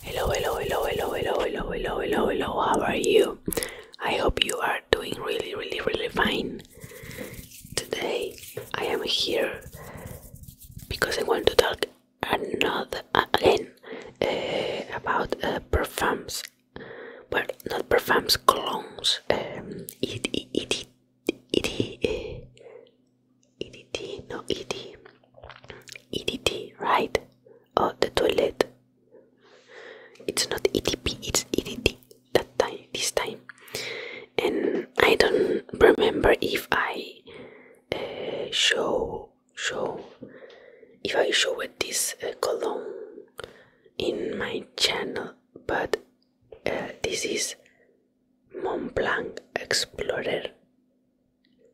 Hello, hello, hello, hello, hello, hello, hello, hello, hello. How are you? I hope you are doing really, really, really fine. Today I am here because I want to talk another uh, again uh, about uh, perfumes, but not perfumes, colognes. Um, it, it, it, it, it, uh, EDT, no ED, EDT, right? Oh, the toilet. It's not EDP, it's E D D. that time, this time. And I don't remember if I uh, show, show, if I show this uh, column in my channel, but uh, this is Mont Explorer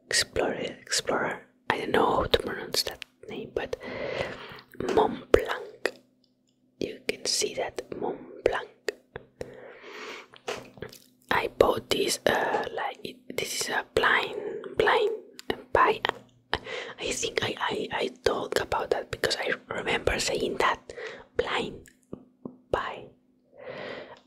explorer, explorer. I don't know how to pronounce that name, but Mont Blanc. You can see that Mont Blanc. I bought this. Uh, like this is a blind, blind buy. I think I, I I talk about that because I remember saying that blind buy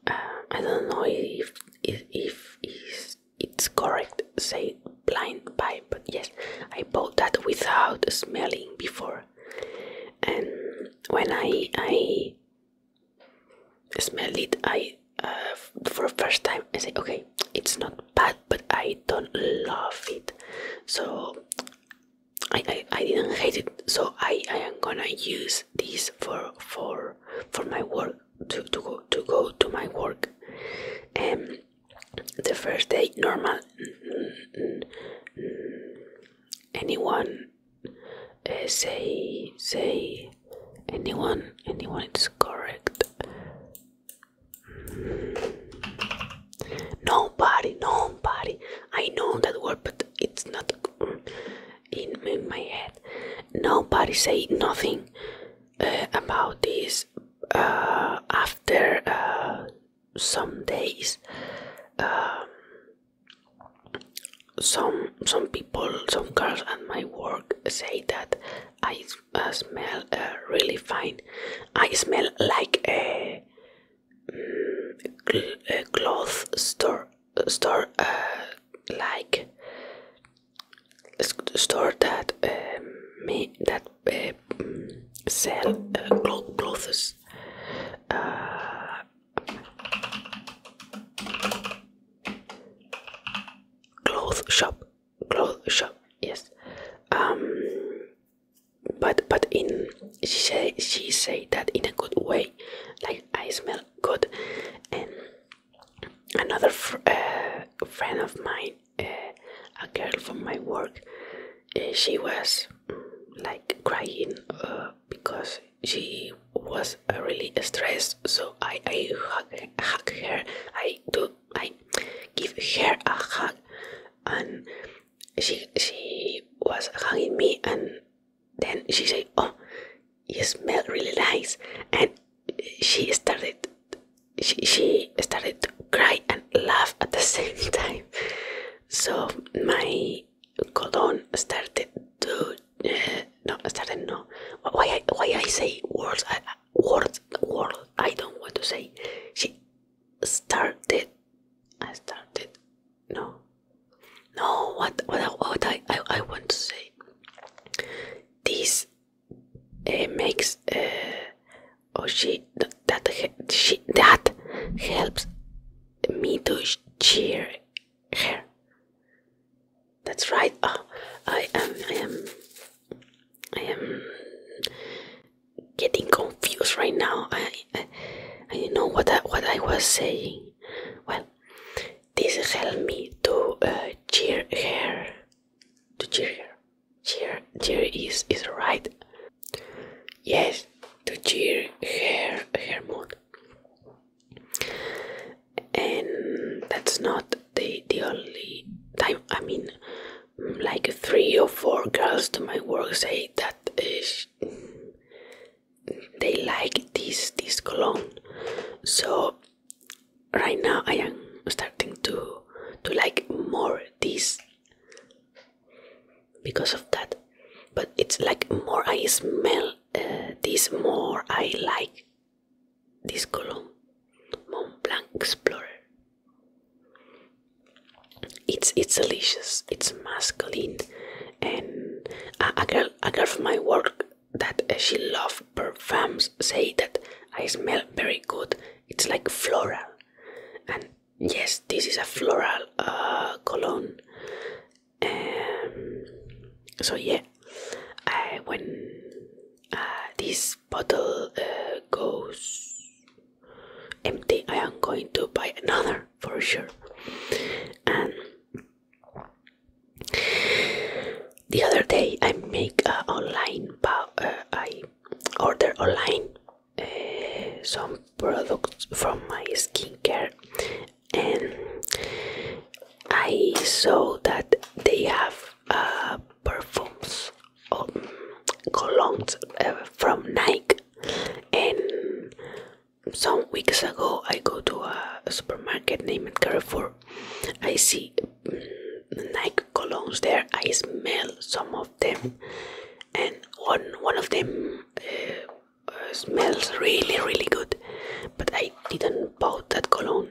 uh, I don't know if if, is, it's correct say blind buy, but yes, I bought that without smelling before, and when I I smelled it, I uh, for first time I say okay, it's not bad, but I don't love it, so. I, I didn't hate it so I, I am gonna use this for for for my work to, to go to go to my work and um, the first day normal anyone uh, say say anyone anyone it's correct nobody nobody i know that word but it's not in, my head. Nobody say nothing uh, about this. Uh, after uh, some days, um, some some people, some girls at my work say that I smell really fine. I smell like a mm, cloth store store uh, like store that uh, me that uh, sell uh, clothes uh, cloth shop clothes shop yes um but but in she she say that in a good way like I smell good and another uh, friend of mine uh, a girl from my work uh, she was mm, like crying because she was really stressed so i i hug, hug her i do i give her a hug and she she was hugging me and then she said, "Oh, you smell really nice," and she started. She, she started to cry and laugh at the same time. So my cologne started to uh, no started no. Why I, why I say words words words I don't want to say. She started. I started no no, what what, what I, I I want to say. This uh, makes uh, or she that, she that helps me to cheer her. That's right. Oh, I am I am I am getting confused right now. I, I not know what I, what I was saying. Well, this helped me to uh, cheer her. To cheer her. Cheer, cheer is is right. Yes, to cheer her her mood. And that's not the the only time. I mean, like three or four girls to my work say that is they like this this cologne so right now i am starting to to like more this because of that but it's like more i smell uh, this more i like this cologne mont explorer it's it's delicious. It's masculine, and a, girl a girl from my work that uh, she love perfumes say that I smell very good. It's like floral, and yes, this is a floral uh, cologne. Um, so yeah, when uh, this bottle goes empty i am going to buy another for sure and the other day i make uh, online i order online uh, some products from my skincare and i saw that they have uh, perfumes um, colognes uh, from nike and some weeks ago i go to a supermarket named carrefour i see mm, nike colognes there i smell some of them and one one of them uh, uh, smells really really good but i didn't bought that cologne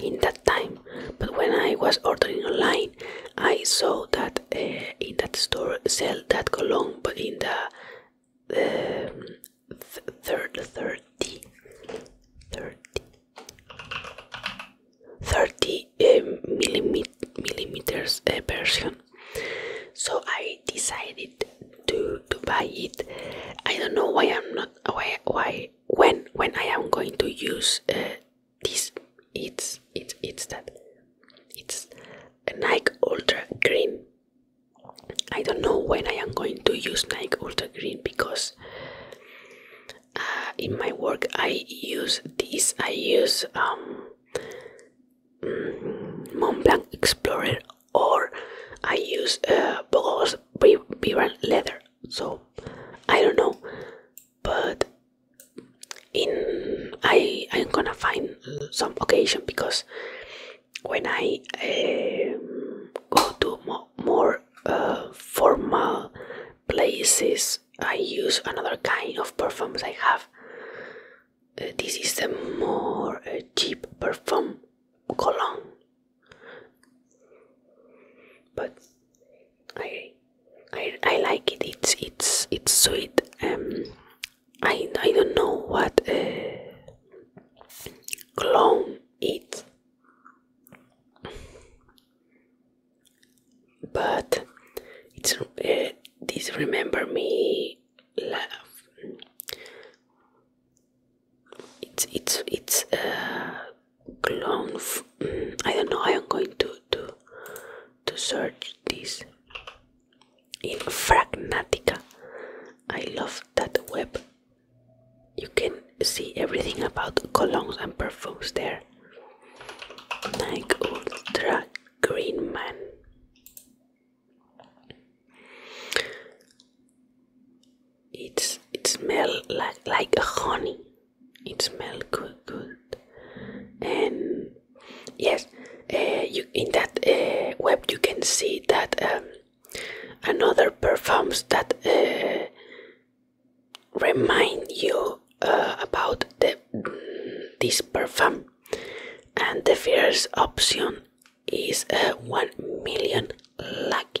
in that time but when i was ordering online I saw that uh, in that store sell that cologne, but in the um, th third, thirty, thirty, thirty um, uh, millimeters version. So I decided to to buy it. I don't know why I'm not why why when when I am going to use. it. Uh, this it's it's it's that it's Nike Ultra Green. I don't know when I am going to use Nike Ultra Green because uh, in my work I use this. I use um, mm, Mont Explorer or I use uh, Bogos Vibrant Leather. So I don't know but in I I'm gonna find some occasion because when I um, go to more uh, formal places, I use another kind of perfumes I have. Uh, this is the more uh, cheap perfume cologne, but I I I like it. It's it's it's sweet. Um, I I don't know what uh, clone it, but it's uh, this remember me laugh. It's it's it's uh, clone I don't know. I am going to to to search this in Fragnatica. I love that web. You can see everything about colognes and perfumes there. Like Ultra Green Man. It's it smells like like honey it smells good good and yes uh, in that uh, web you can see that um, another perfumes that uh, remind you about this perfume and the first option is 1 million like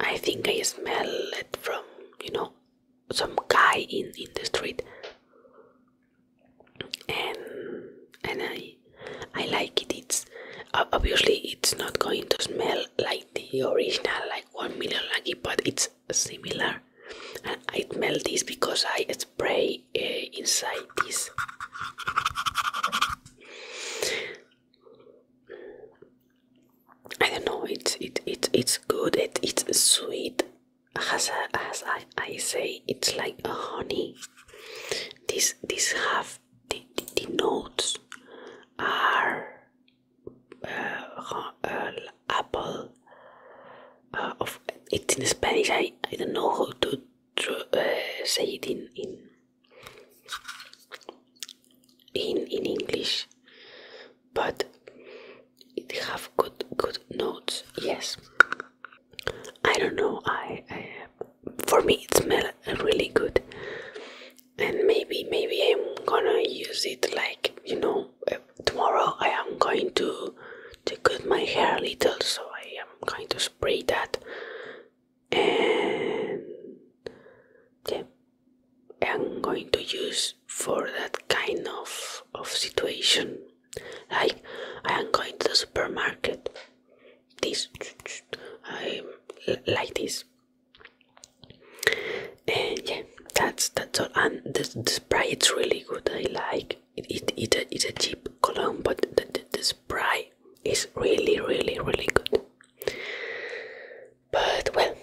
I think I smell it from, you know, some guy in, in the street. And and I I like it. It's obviously it's not going to smell like the original, like one million lucky, but it's similar. And I smell this because I spray uh, inside this. I don't know. It's it, it it's good. It it's sweet. As as I, I say, it's like a honey. This this have the, the, notes are uh, uh, apple. Uh, of it's in Spanish. I I don't know how to say it in in in English, but it have good good notes. Yes, I don't know. I, I for me it smell really good, and maybe maybe I'm gonna use it like you know uh, tomorrow. I am going to to cut my hair a little, so I am going to spray that and yeah, I'm going to use for that kind of of situation. Like I am going to the supermarket. This I like this. And yeah, that's that's all. And the, the spray it's really good. I like it. It, it, it it's a cheap cologne, but the, the, the spray movie is really, really, really good. But well,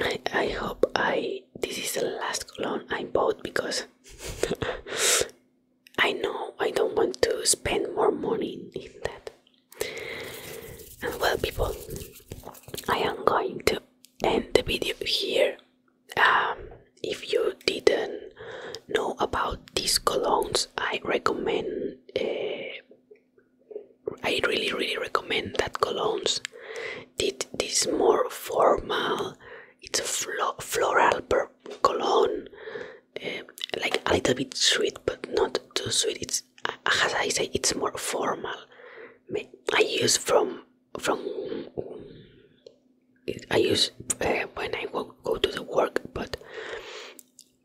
I, I hope I this is the last cologne I bought because I know I don't want to spend more money in, that. well, people, I am going to end the video here. Um, if you didn't know about these colognes, I recommend. Uh, I really, really recommend that colognes. Did this more formal. It's a floral cologne, uh, like a little bit sweet, but not too sweet. It's as I say, it's more formal. I use from from I use eh, when I go, go to the work, but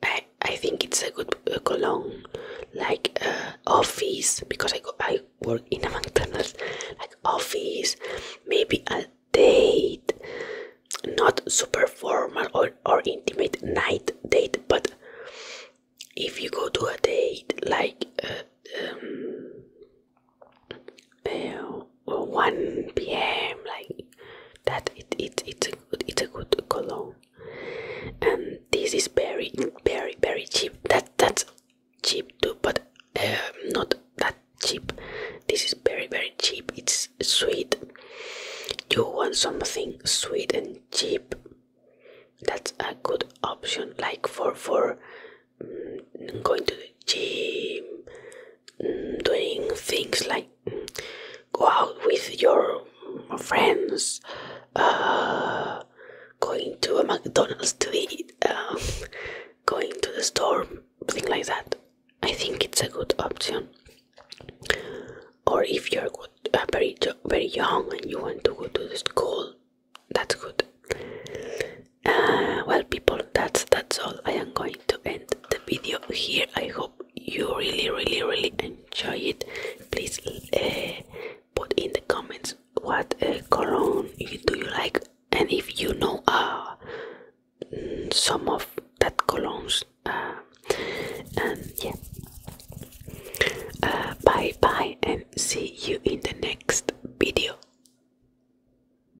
I, I think it's a good cologne, like uh, office, because I, go, I work in a McDonald's, like office, maybe a date, not super formal or, or intimate night date, but if you go to a date, like uh, um, uh, 1 p.m. like that. It, it, it's, a good, it's a good cologne. And this is very, very, very cheap. That That's cheap too, but um, not that cheap. This is very, very cheap. It's sweet. You want something sweet and cheap? That's a good option, like for for mm, going to the gym, doing things like go out with your friends, uh, going to a McDonald's to eat, um, going to the store, things like that. I think it's a good option. Or if you're uh, very very young and you want to go to the school, that's good. Uh, well people that's that's all i am going to end the video here i hope you really really really enjoy it please uh, put in the comments what uh, cologne do you like and if you know uh, mm, some of that colognes and um, yeah bye bye and see you in the next video